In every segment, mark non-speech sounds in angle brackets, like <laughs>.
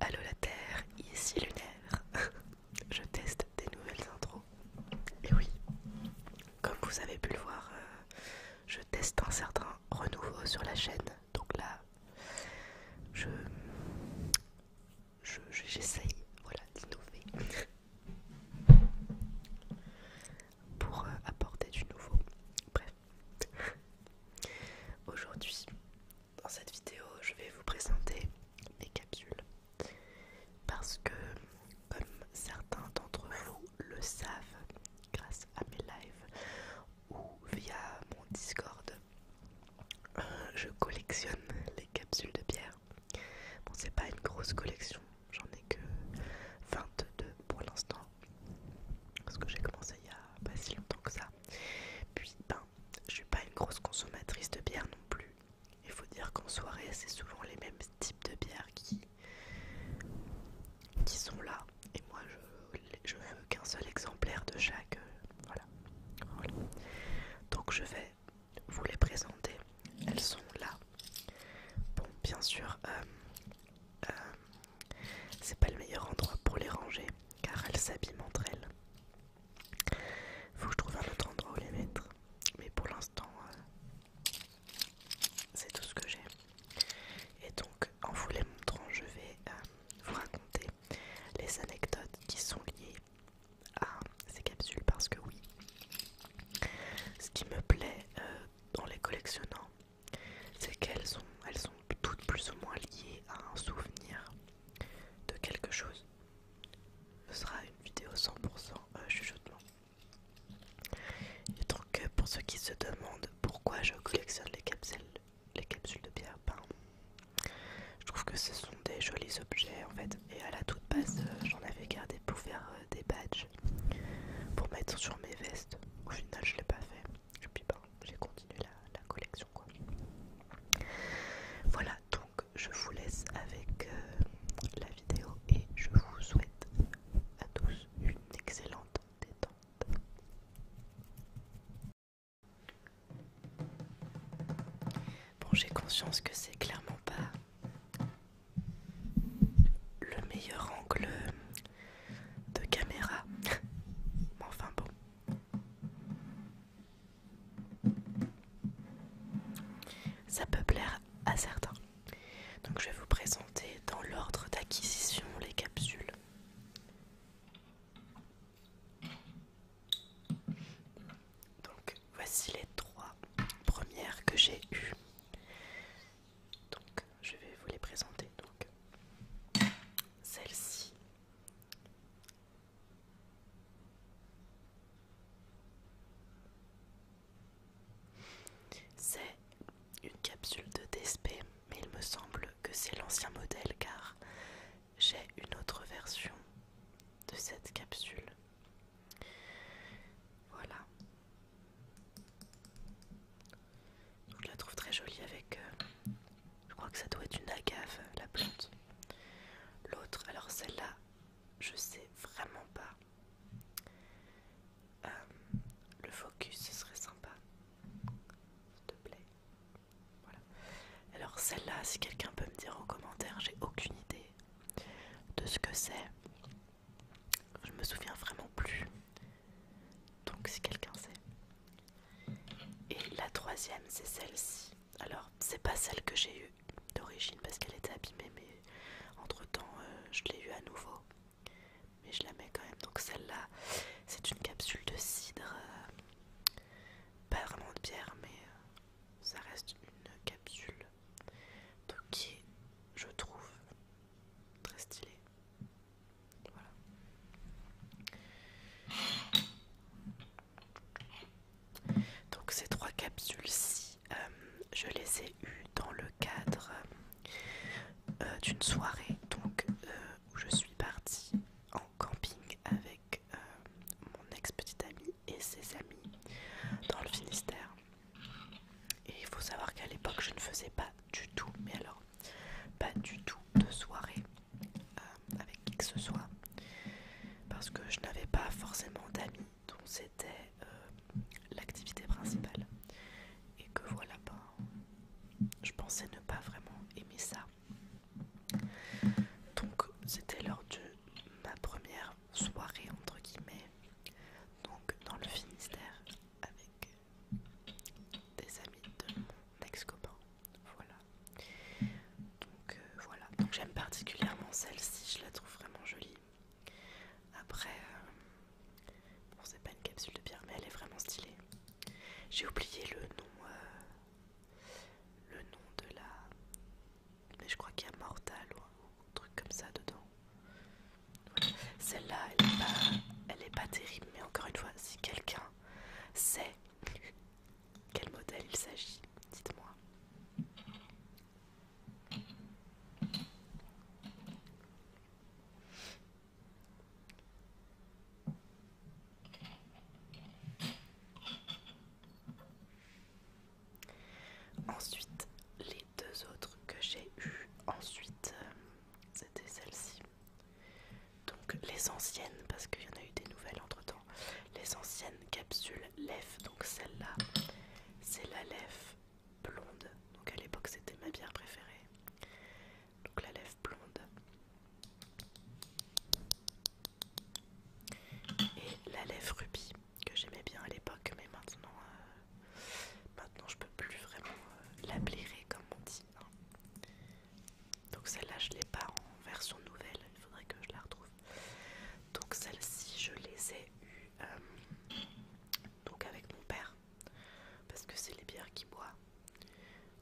Allô la Terre, ici Lunaire. <laughs> Je teste des nouvelles intros. Et oui, comme vous avez pu le voir, euh, je teste un certain renouveau sur la chaîne. Donc là, je j'essaye, voilà, d'innover. <laughs> pour euh, apporter du nouveau. Bref. <laughs> Aujourd'hui, dans cette vidéo, je vais vous présenter mes capsules parce que, comme certains d'entre vous le savent, grâce à mes lives ou via mon Discord, euh, je collectionne les capsules de pierre Bon, c'est pas une grosse collection, j'en ai que 22 pour l'instant, parce que j'ai commencé il y a pas si longtemps que ça. Puis ben, je suis pas une grosse consommatrice de bière non plus. Il faut dire qu'en soirée, c'est souvent les mêmes types de bières qui, qui sont là. Et moi, je, veux qu'un seul exemplaire de chaque. Euh, voilà. Donc je vais vous les présenter. Elles sont là. Bon, bien sûr, euh, euh, c'est pas le meilleur endroit pour les ranger car elles s'abîment entre elles. Faut que je trouve un autre endroit où les mettre, mais pour l'instant, euh, c'est tout ce que j'ai. Et donc, en vous les montrant, je vais euh, vous raconter les anecdotes qui sont liées à ces capsules parce que oui, ce qui me plaît euh, dans les collectionnant, c'est qu'elles sont, elles sont toutes plus ou moins liées à un souvenir de quelque chose. Ce sera une vidéo 100% euh, chuchotement. Et donc euh, pour ceux qui se demandent pourquoi je collectionne les capsules, les capsules de pierre, ben, je trouve que ce sont des jolis objets en fait. Et à la toute base, euh, j'en avais gardé pour faire des badges, pour mettre sur mes vestes. Au final, je l'ai pas fait et puis pas, ben, j'ai continué la, collection quoi. Voilà donc je vous laisse avec euh, la vidéo et je vous souhaite à tous une excellente détente. Bon j'ai conscience que c'est clairement pas le meilleur angle de caméra. <laughs> Mais enfin bon. Ça peut plaire à certains. Donc je vais vous présenter dans l'ordre d'acquisition les capsules. Donc voici les trois premières que j'ai eues. Donc je vais vous les présenter. Donc celle-ci. C'est une capsule de DSP, mais il me semble que c'est l'ancien modèle car j'ai une autre version de cette capsule. Voilà, je la trouve très jolie avec, euh, je crois que ça doit être une agave, euh, la plante. L'autre, alors celle-là, je sais vraiment pas. Euh, le focus, ce serait sympa. S'il te plaît. Voilà. Alors celle-là, si quelqu'un peut me dire en commentaire, j'ai aucune idée de ce que c'est. Je me souviens vraiment plus. Donc si quelqu'un sait. Et la troisième, c'est celle-ci. Alors, c'est pas celle que j'ai eue d'origine parce qu'elle était abîmée, mais entre-temps, euh, je l'ai eue à nouveau. Mais je la mets quand même. Donc celle-là, c'est une capsule de cidre. Euh, pas vraiment de bière, mais euh, ça reste une capsule. Donc qui je trouve, très stylée. Voilà. Donc ces trois capsules-ci, euh, je les ai eues dans le cadre euh, d'une soirée donc, euh, où je suis partie en camping avec mon ex-petite amie et ses amis dans le Finistère. Et il faut savoir qu'à l'époque, je ne faisais pas du tout, mais alors, pas du tout de soirée euh, avec qui que ce soit, parce que je n'avais pas forcément d'amis, donc c'était euh, l'activité principale. Et que voilà, ben, je pensais ne pas vraiment aimer ça. Donc, c'était lors de ma première soirée, entre guillemets, donc dans le Finistère, avec des amis de mon ex-copain. Voilà. Donc euh, voilà. Donc j'aime particulièrement celle-ci, je la trouve vraiment jolie. Après, euh, bon c'est pas une capsule de pierre mais elle est vraiment stylée. J'ai oublié le nom, euh, le nom de la, mais je crois qu'il y a Mortal ou un truc comme ça dedans. Celle-là, elle n'est pas, est pas terrible, mais encore une fois, si quelqu'un sait quel modèle il s'agit, dites-moi. Ensuite, les deux autres que j'ai eues ensuite, euh, c'était celle-ci. Donc les anciennes, parce qu'il y en a eu des nouvelles entre temps, les anciennes capsules LEF, donc celle-là, c'est la LEF blonde, donc à l'époque c'était ma bière préférée, donc la LEF blonde. Et la lèvre rubis que j'aimais bien à l'époque, mais maintenant euh, Maintenant, je peux plus vraiment euh, la comme on dit. Hein. Donc celle-là, je l'ai pas en version nouvelle. Il faudrait que je la retrouve. Donc celle-ci, je les ai eues euh, donc avec mon père parce que c'est les bières qu'il boit.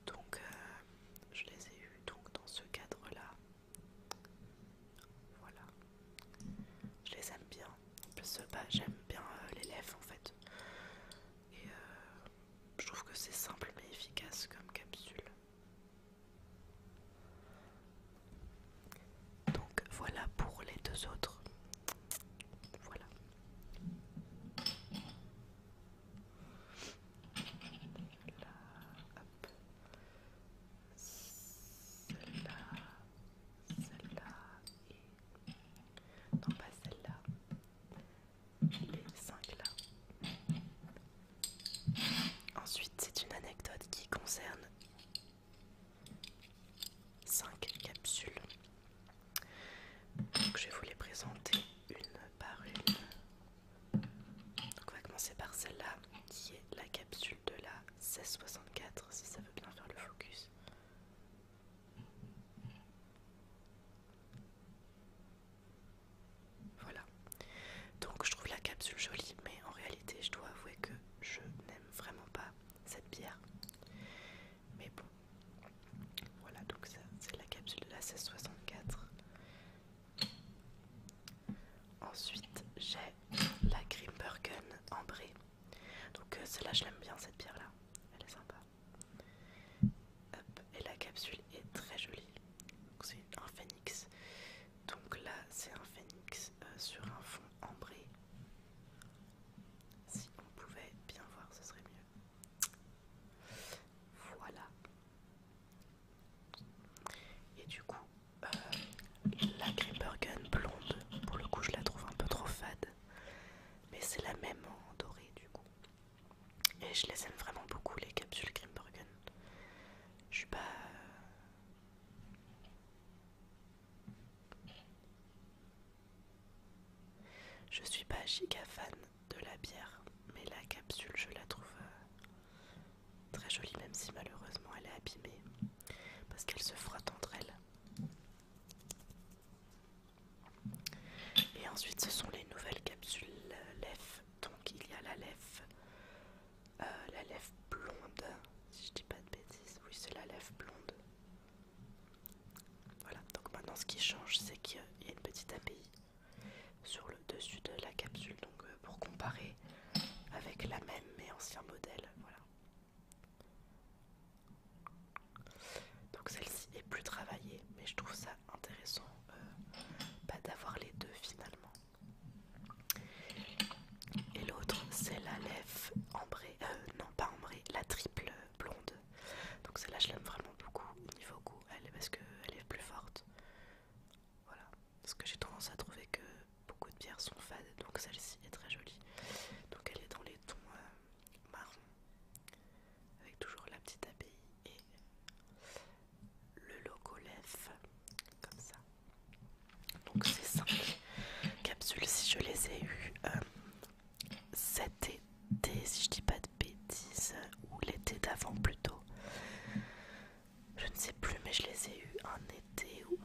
Donc euh, je les ai eues donc dans ce cadre-là. Voilà. Je les aime bien parce euh, bah, que j'aime bien euh, les l'élève en fait. Et euh, je trouve que c'est simple mais efficace comme capsule. Donc voilà pour les deux autres. Voilà. là celle-là et non, pas celle-là. Les 5 là. Ensuite, c'est une anecdote qui concerne 5 capsules. Donc, je vais vous les présenter une par une. Donc, on va commencer par celle-là qui est la capsule de la 1664, si ça veut bien faire le focus. Voilà. Donc je trouve la capsule jolie, mais en réalité je dois avouer que je n'aime vraiment pas cette bière. Mais bon, voilà donc ça c'est la capsule de la 1664. Ensuite j'ai la Grimbergen ambrée. Donc euh, celle-là, je l'aime bien cette pierre-là. Elle est sympa. Hop. Et la capsule est très jolie. C'est un phénix. Donc là, c'est un phénix euh, sur un fond ambré. Si on pouvait bien voir, ce serait mieux. Voilà. Et du coup, euh, la Creeper blonde, pour le coup, je la trouve un peu trop fade. Mais c'est la même en doré du coup. Et je les aime vraiment beaucoup les capsules Grimbergen. Je suis pas... Je suis pas giga fan de la bière, mais la capsule je la trouve euh, très jolie même si malheureusement elle est abîmée parce qu'elle se frotte entre elles. Et ensuite, ce sont les nouvelles capsules LEF. Donc, il y a la LEF, euh, la blonde, si je dis pas de bêtises. Oui, c'est la LEF blonde. Voilà, donc maintenant ce qui change, c'est qu'il y a une petite API sur le dessus de la capsule, donc euh, pour comparer avec la même mais ancien modèle. Voilà. Donc celle-ci est plus travaillée, mais je trouve ça intéressant euh, bah, d'avoir les deux finalement. Et l'autre, c'est la lèvre ambrée, euh, non pas ambrée, la triple blonde. Donc celle-là, je l'aime vraiment beaucoup au niveau goût, elle, parce qu'elle est plus forte. Voilà, parce que j'ai tendance à trouver que beaucoup de bières sont fades, donc celle-ci est très jolie. Donc elle est dans les tons euh, marron, avec toujours la petite abbaye et le logo LEF, comme ça. Donc c'est simple. capsules, si je les ai eu euh, cet été, si je dis pas de bêtises, euh, ou l'été d'avant plutôt. Je ne sais plus, mais je les ai eu un été où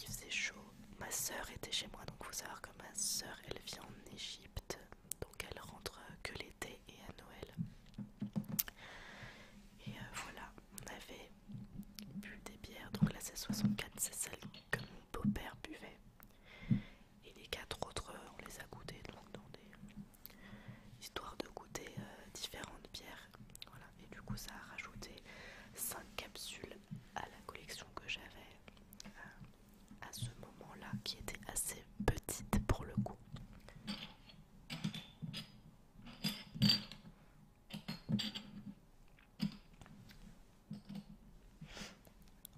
il faisait chaud ma soeur était chez moi, donc faut savoir que ma soeur elle vit en Égypte, donc elle rentre euh, que l'été et à Noël. Et euh, voilà, on avait bu des bières, donc là c 64, c'est celle que mon beau-père buvait. Et les quatre autres, euh, on les a goûtées, donc dans des histoires de goûter différentes bières. et du coup ça a rajouté 5 capsules à la collection que j'avais à, euh, à ce moment-là, qui était assez petite pour le coup.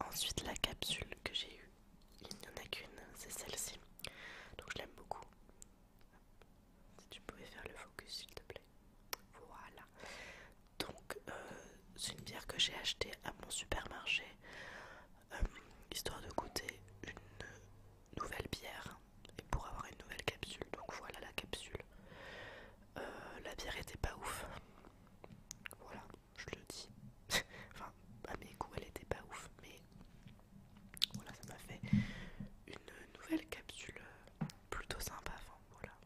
Ensuite, la capsule que j'ai eue, il n'y en a qu'une, c'est celle-ci. Donc je l'aime beaucoup. Si tu pouvais faire le focus, s'il te plaît. Voilà. Donc, euh, c'est une bière que j'ai achetée à mon supermarché, euh, histoire de goûter une nouvelle bière et pour avoir une nouvelle capsule. Donc, voilà la capsule. Euh, la bière était pas ouf. Voilà, je le dis. <laughs> enfin, à mes goûts, elle était pas ouf, mais voilà, ça m'a fait une nouvelle capsule plutôt sympa. voilà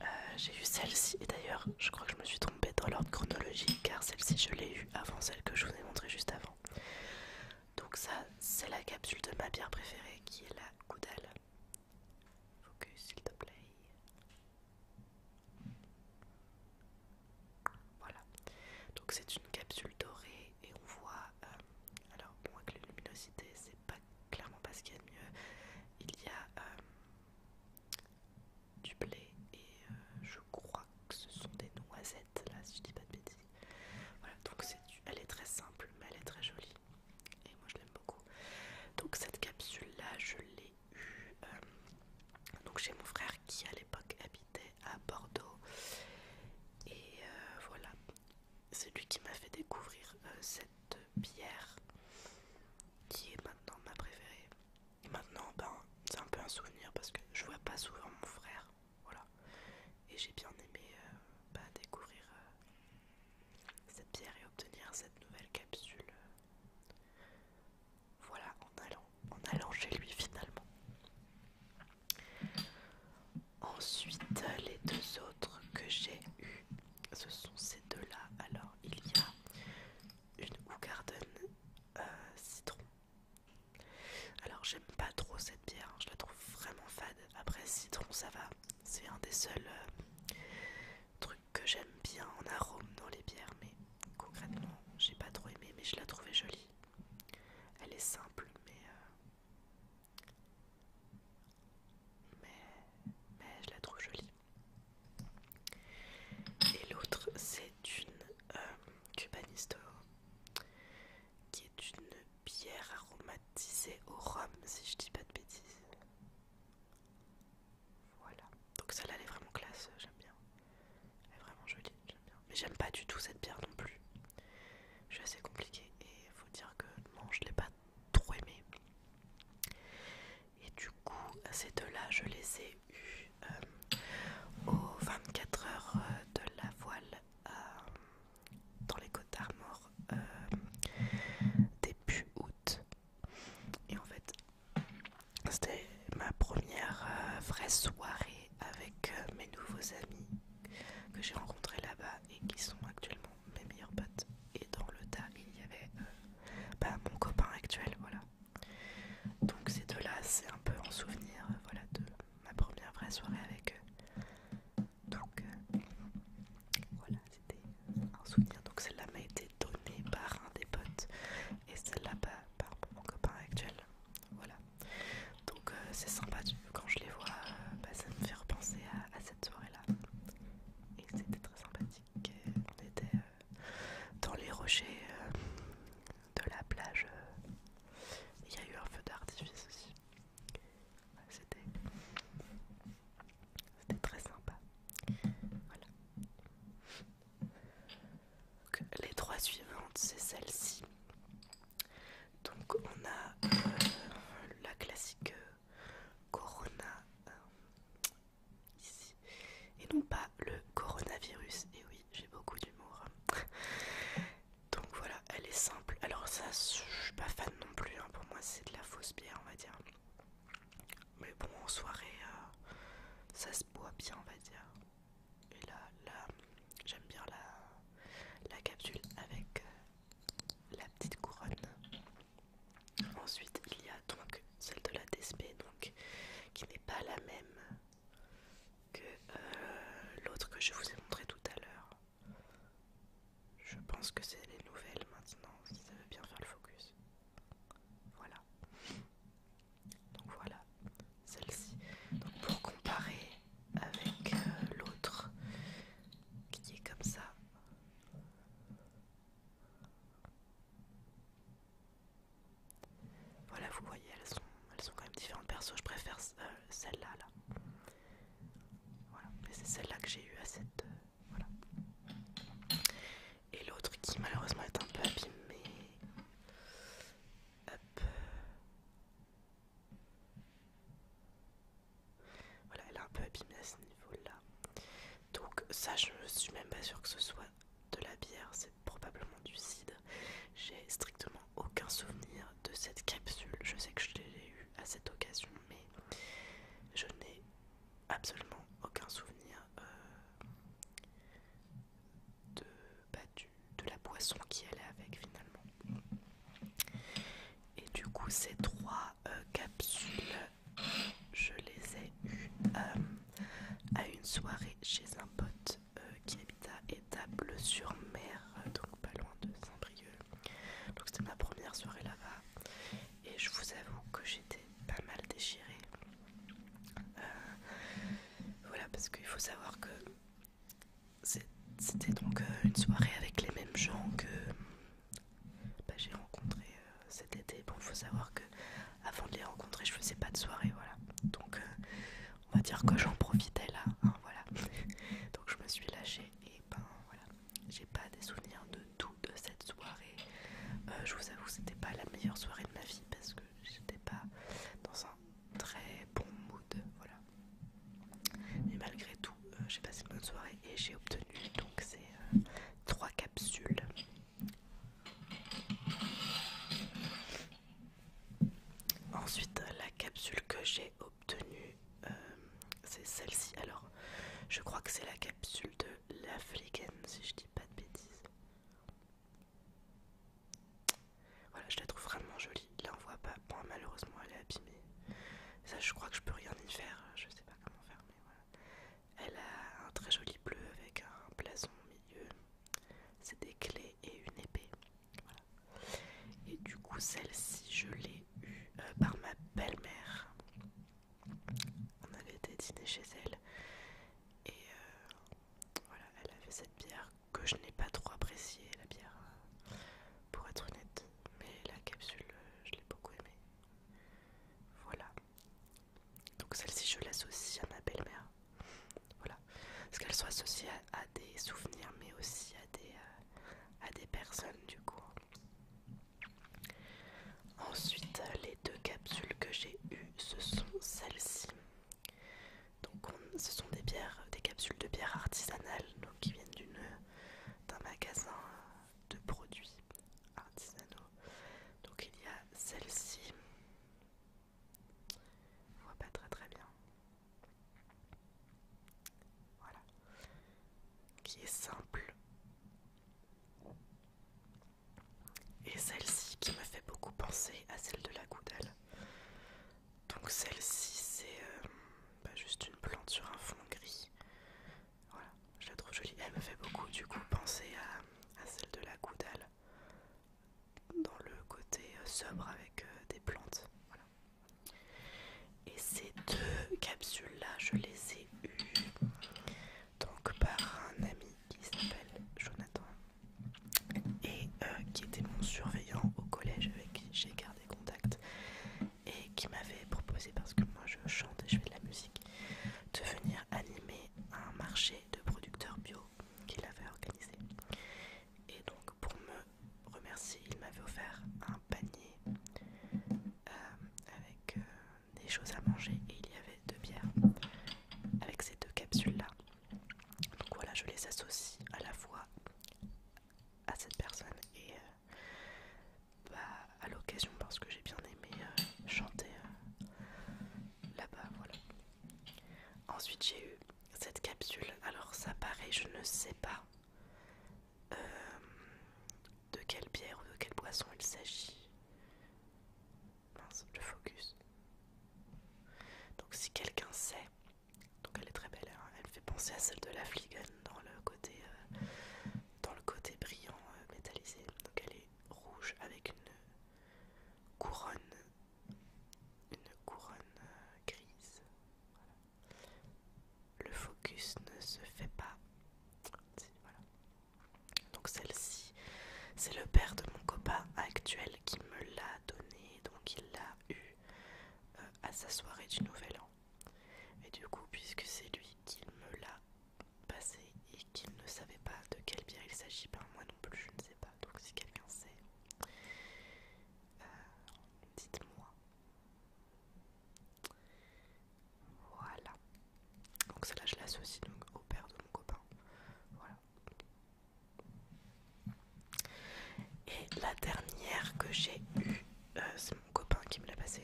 Euh, j'ai eu celle-ci et d'ailleurs je crois que je me suis trompée dans l'ordre chronologique car celle-ci je l'ai eue avant celle que je vous ai montrée juste avant. Donc ça c'est la capsule de ma bière préférée qui est la goudale. Focus s'il te plaît. Voilà. Donc c'est une capsule dorée et on voit... Euh, alors bon avec la luminosité c'est pas clairement pas ce qu'il y a de mieux. Il y a... Euh, du blé et euh, je crois que ce sont des noisettes là si je dis pas de bêtises. Voilà donc c'est elle est très simple mais elle est très jolie et moi je l'aime beaucoup. Donc cette capsule là je l'ai eue euh, donc chez mon frère qui à l'époque habitait à Bordeaux et euh, voilà c'est lui qui m'a fait découvrir cette bière qui est maintenant ma préférée. Et maintenant, ben, c'est un peu un souvenir parce que je vois pas souvent mon frère. Voilà. Et j'ai bien aimé euh, bah, découvrir euh, cette pierre et obtenir cette nouvelle capsule. Euh, voilà, en allant, en allant chez lui finalement. Ensuite, les deux autres que j'ai eu ce sont ces deux-là. Alors, il y a une Hoogarden euh, citron. Alors j'aime pas trop cette bière, hein. je la trouve vraiment fade. Après citron ça va, c'est un des seuls euh, trucs que j'aime bien en arôme dans les bières, mais concrètement j'ai pas trop aimé, mais je la trouvais jolie. Elle est simple, mais euh, je la trouve jolie. Et l'autre, c'est une euh, Cubanisto, qui est une bière aromatisée au rhum, si je dis pas de bêtises. Voilà. Donc celle-là, elle est vraiment classe, euh, j'aime bien. Elle est vraiment jolie, j'aime bien. Mais j'aime pas du tout cette bière non plus. Je suis assez compliquée et faut dire que non, je l'ai pas trop aimée. Et du coup, ces deux-là, je les ai eus euh, aux 24 heures euh, de la voile euh, dans les côtes d'Armor début août. Et en fait, c'était ma première vraie soirée avec mes nouveaux amis que j'ai rencontrés là-bas et qui sont actuellement mes meilleurs potes et dans le tas il y avait euh, bah, mon copain actuel voilà donc ces deux là c'est un peu en souvenir euh, voilà de ma première vraie soirée avec eux donc euh, voilà c'était un souvenir donc celle là m'a été donnée par un des potes et celle là bah, par mon copain actuel voilà donc c'est sympa quand je les vois bah, ça me fait repenser à cette soirée là et c'était très sympathique on était euh, dans les rochers euh, de la plage. Euh, il y a eu un feu d'artifice aussi. C'était très sympa. Voilà. les trois suivantes, c'est celle-ci. Donc on a la classique corona euh, ici et non pas le coronavirus et oui j'ai beaucoup d'humour donc voilà elle est simple alors ça je suis pas fan non plus hein. pour moi c'est de la fausse bière on va dire mais bon en soirée euh, ça se boit bien on va dire et là là j'aime bien la, capsule avec euh, la petite couronne Ensuite, il y a donc celle de la DSP, donc qui n'est pas la même que euh, l'autre que je vous ai montré tout à l'heure. Je pense que c'est les nouvelles maintenant, si ça veut bien faire le focus. Voilà. Donc voilà, celle-ci. Donc pour comparer avec euh, l'autre qui est comme ça, voilà, vous voyez, elles sont, elles quand même différentes persos. Je préfère euh, celle-là. Là. Voilà, et c'est celle-là que j'ai eu à cette. Euh, voilà. Et l'autre qui malheureusement est un peu abîmée. Voilà, elle est un peu abîmée à ce niveau-là. Donc ça je ne suis même pas sûre que ce soit de la bière, c'est probablement du cidre. J'ai strictement aucun souvenir de cette capsule. Je sais que je l'ai eue à cette occasion, mais je n'ai absolument aucun souvenir euh, bah, de, la boisson qui allait avec finalement. Et du coup, ces trois euh, capsules je les ai eus euh, à une soirée chez un pote euh, qui habite à Étable-sur-Mer, donc pas loin de Saint-Brieuc. Donc c'était ma première soirée là-bas et je vous avoue que j'étais pas mal déchirée. Euh, voilà, parce qu'il faut savoir que c'était donc une soirée avec les mêmes gens que bah, j'ai rencontré euh, cet été. Bon, faut savoir que avant de les rencontrer, je faisais pas de soirée, voilà. Donc, euh, on va dire que j'en profitais là, hein, voilà. <laughs> Donc, je me suis lâchée et ben voilà. J'ai pas des souvenirs de tout de cette soirée. Euh, je vous avoue, c'était pas la meilleure soirée de ma vie parce que j'étais pas dans un très bon mood, voilà. Mais malgré tout, j'ai passé une bonne soirée et j'ai obtenu donc c'est euh, trois capsules. Ensuite, la capsule que j'ai obtenue, euh, c'est celle-ci. Alors, je crois que c'est la capsule de La flicken si je dis pas de bêtises. Voilà, je la trouve vraiment jolie. Là, on voit pas. Bon, malheureusement, elle est abîmée. Ça, je crois que je peux rien y faire. Je sais pas comment faire, mais voilà. Elle a un très joli bleu avec un blason au milieu. C'est des clés et une épée. Et du coup, celle-ci, je l'ai eue euh, par ma belle-mère. On avait été dîner chez elle. Et euh, voilà, elle avait cette bière que je n'ai pas trop appréciée, la bière, euh, pour être honnête. Mais la capsule, je l'ai beaucoup aimée. Voilà. Donc celle-ci je l'associe à ma belle-mère. Voilà. Parce qu'elle soit associée à, des souvenirs mais aussi à des, euh, des personnes du coup. Ensuite les deux capsules que j'ai eu ce sont celles-ci. Donc ce sont des bières, des capsules de bière artisanale qui viennent d'un magasin de produits artisanaux. Donc il y a celle-ci. On voit pas très très bien. Voilà. Qui est simple. Et celle-ci qui me fait beaucoup penser à celle de la goudelle Donc celle-ci c'est pas euh, bah, juste une plante sur un fond gris voilà, je la trouve jolie. Elle me fait beaucoup du coup penser à, celle de la Goudale dans le côté euh, sobre avec euh, des plantes. Voilà. Et ces deux capsules-là, je les ai eues donc par un ami qui s'appelle Jonathan et euh, qui était mon surveillant au collège avec qui j'ai gardé contact et qui m'avait proposé, parce que moi je chante et je fais de la musique, de venir animer un marché de producteurs bio qu'il avait organisé. Et donc pour me remercier, il m'avait offert un panier euh, avec euh, des choses à manger et il y avait deux bières avec ces deux capsules-là. Donc voilà, je les associe à la fois à cette personne et euh, bah, à l'occasion parce que j'ai bien aimé euh, chanter euh, là-bas. Voilà. Ensuite, j'ai eu cette capsule. Alors, ça paraît, je ne sais pas euh, de quelle bière ou de quelle boisson il s'agit. Mince, focus. Donc, si quelqu'un sait, donc elle est très belle, hein. elle fait penser à celle de la Fligan dans le côté dans le côté brillant euh, métallisé. Donc elle est rouge avec une couronne, une couronne euh, grise. Le focus ne se fait pas. Donc celle-ci, c'est le père de mon copain actuel qui me l'a donné, donc il l'a eu euh, à sa soirée du Nouvel An. Et du coup, puisque c'est lui qui me l'a passé et qu'il ne savait pas de quelle bière il s'agit, ben moi non plus je ne sais pas. Donc si quelqu'un sait, euh, dites-moi. Voilà. Donc celle-là je l'associe donc au père de mon copain. Voilà. Et la dernière que j'ai eue, euh, c'est mon copain qui me l'a passé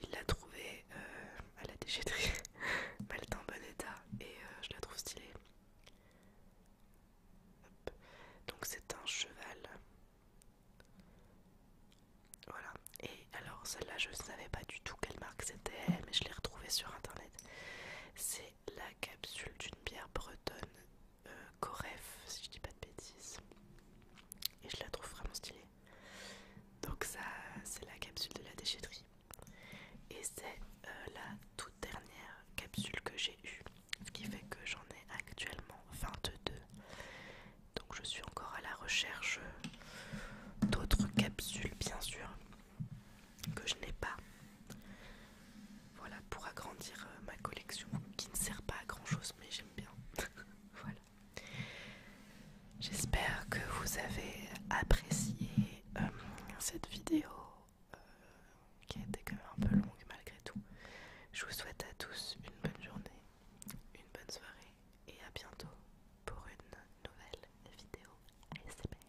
il l'a trouvé euh, à la déchetterie, elle est en bon état et euh, je la trouve stylée. Donc c'est un cheval. Voilà. Et alors celle-là, je ne savais pas du tout quelle marque c'était, mais je l'ai retrouvée sur internet. C'est la capsule d'une bière bretonne, euh, Coref, si je dis pas de bêtises et je la trouve vraiment stylée. Donc ça, c'est la capsule de la déchetterie. Et c'est euh, la toute dernière capsule que j'ai eue, ce qui fait que j'en ai actuellement 22. Donc je suis encore à la recherche d'autres capsules, bien sûr, que je n'ai pas. Voilà, pour agrandir euh, ma collection, qui ne sert pas à grand chose, mais j'aime bien. <laughs> voilà. J'espère que vous avez apprécié euh, cette vidéo euh, qui a été quand même un peu longue malgré tout. Je vous souhaite à tous une bonne journée, une bonne soirée et à bientôt pour une nouvelle vidéo ASMR.